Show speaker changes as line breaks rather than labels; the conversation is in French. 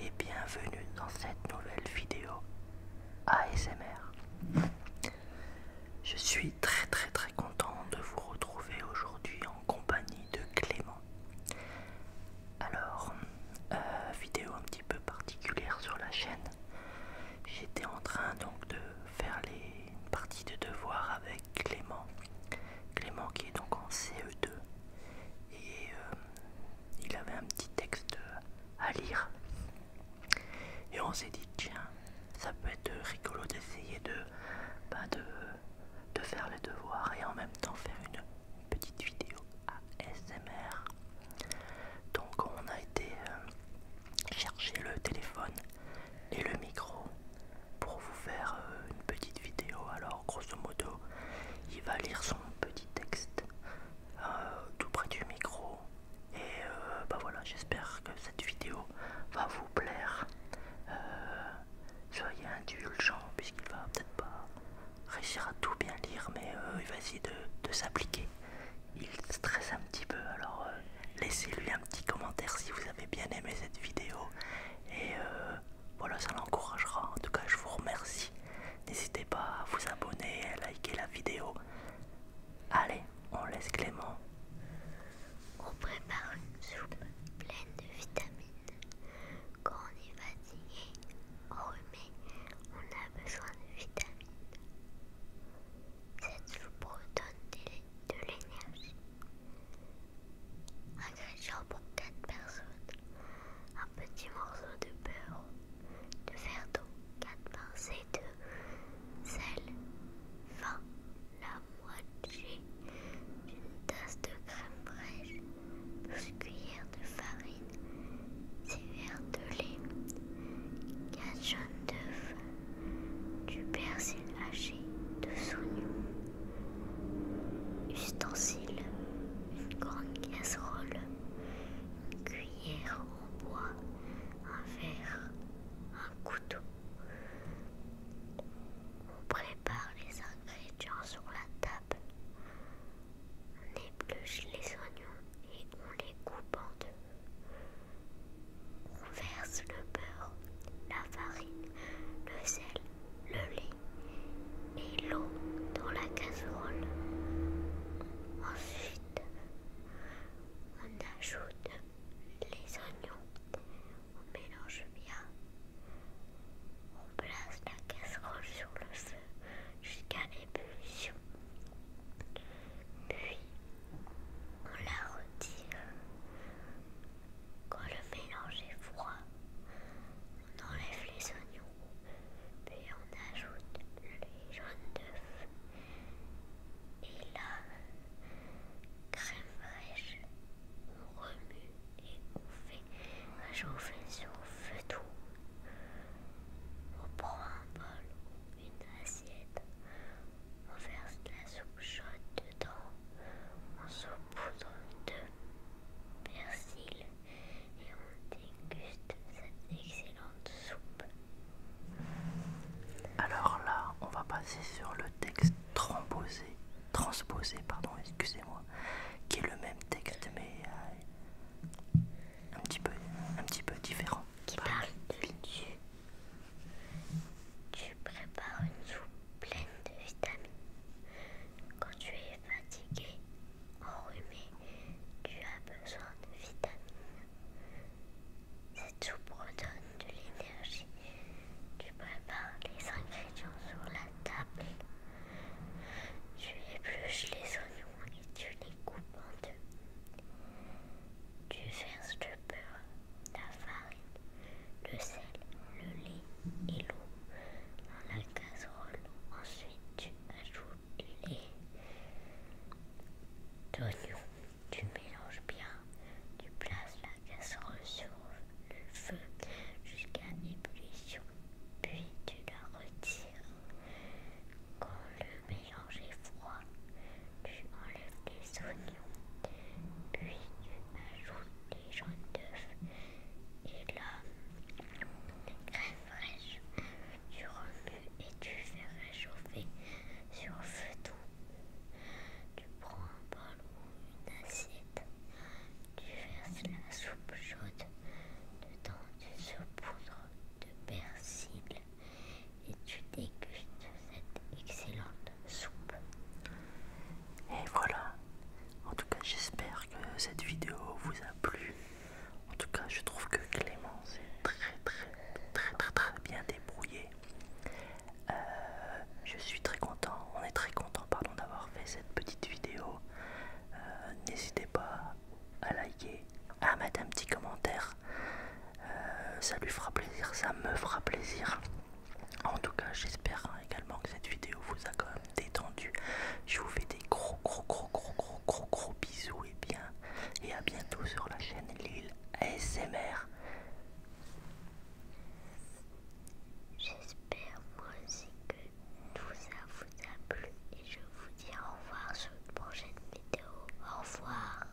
et bienvenue dans cette nouvelle vidéo ASMR. Je suis très très très content de vous retrouver aujourd'hui en compagnie de Clément. Alors, euh, vidéo un petit peu particulière sur la chaîne. J'étais en train donc de faire les parties de devoirs avec Clément. Clément qui est donc en CE2 et euh, il avait un petit texte à lire. Et on s'est dit tiens, ça peut être rigolo d'essayer de, bah, de, de faire les devoirs et en même temps faire une petite vidéo ASMR. Donc on a été euh, chercher le téléphone et le micro pour vous faire euh, une petite vidéo. Alors, grosso modo, il va lire son petit texte euh, tout près du micro. Et euh, bah voilà, j'espère que cette vidéo va vous plaire. soyez indulgents, puisqu'il va peut-être pas réussir à tout bien lire, mais il va essayer de, de s'appliquer. Il stresse un petit peu, alors laissez-lui un petit commentaire si vous avez bien aimé cette vidéo. Et euh, voilà, ça l'encouragera. En tout cas, je vous remercie. N'hésitez pas à vous abonner, et à liker la vidéo. Allez, on laisse Clément.
On prépare une soupe pleine de vitamines. Quand on est fatigué, enrhumé, on a besoin de vitamines. Cette soupe redonne de l'énergie. Ingrédients pour 4 personnes. Un petit morceau de beurre, de verre d'eau, 4 pincées de sel, vin, la moitié d'une tasse de crème fraîche, 12 cuillères de farine, 6 verres de lait, 4 jaunes d'œufs du persil haché de oignons, ustensiles, une grande casserole, une cuillère en bois, un verre, un couteau. On prépare les ingrédients sur la table, on épluche les oignons et on les coupe en deux. On verse le beurre, la farine, le sel, le lait et l'eau dans la casserole. Ensuite, on ajoute les oignons. On mélange bien. On place la casserole sur le feu jusqu'à l'ébullition. Puis, on la retire. Quand le mélange est froid, on enlève les oignons, puis on ajoute les jaunes d'œufs et la crème fraîche. On remue et on fait chauffage sur feu doux. On prend un bol ou une assiette on verse de la soupe chaude dedans. On poudre de persil et on déguste cette excellente soupe. Alors là, on va passer
sur le texte transposé, pardon, excusez-moi, qui est le même texte mais euh, un petit peu, un petit peu différent.
Qui parle de Dieu. Tu prépares une soupe pleine de vitamines. Quand tu es fatigué, enrhumé, tu as besoin de vitamines. Cette soupe redonne de l'énergie. Tu prépares les ingrédients sur la table. Tu épluches les oignons et tu les coupes en deux. Tu verses le beurre, la farine le sel, le lait et l'eau dans la casserole. Ensuite, tu ajoutes lait d'oignon. Tu mélanges bien. Tu places la casserole sur le feu jusqu'à ébullition. Puis tu la retires. Quand le mélange est froid, tu enlèves les oignons, puis tu ajoutes les jaunes d'œufs et la crème fraîche. Tu remues et tu fais réchauffer sur feu doux. Tu prends un bol ou une assiette, tu verses la soupe chaude dedans, tu saupoudres de persil et tu dégustes cette excellente soupe. Et voilà. En tout cas,
j'espère que cette vidéo vous a plu. En tout cas, je trouve que Clément s'est très, très, très, très, très bien débrouillé. Euh, je suis très content, on est très content, pardon, d'avoir fait cette petite vidéo. Euh, n'hésitez pas à liker, à mettre un petit commentaire. Euh, ça lui fera plaisir, ça me fera plaisir. En tout cas, j'espère hein, également que cette vidéo vous a quand même détendu. Je vous fais des gros, gros, gros, gros, gros, gros, gros bisous et bien, et à bientôt sur la chaîne Lille ASMR.
J'espère moi aussi que ça vous a plu et je vous dis au revoir sur une prochaine vidéo. Au revoir.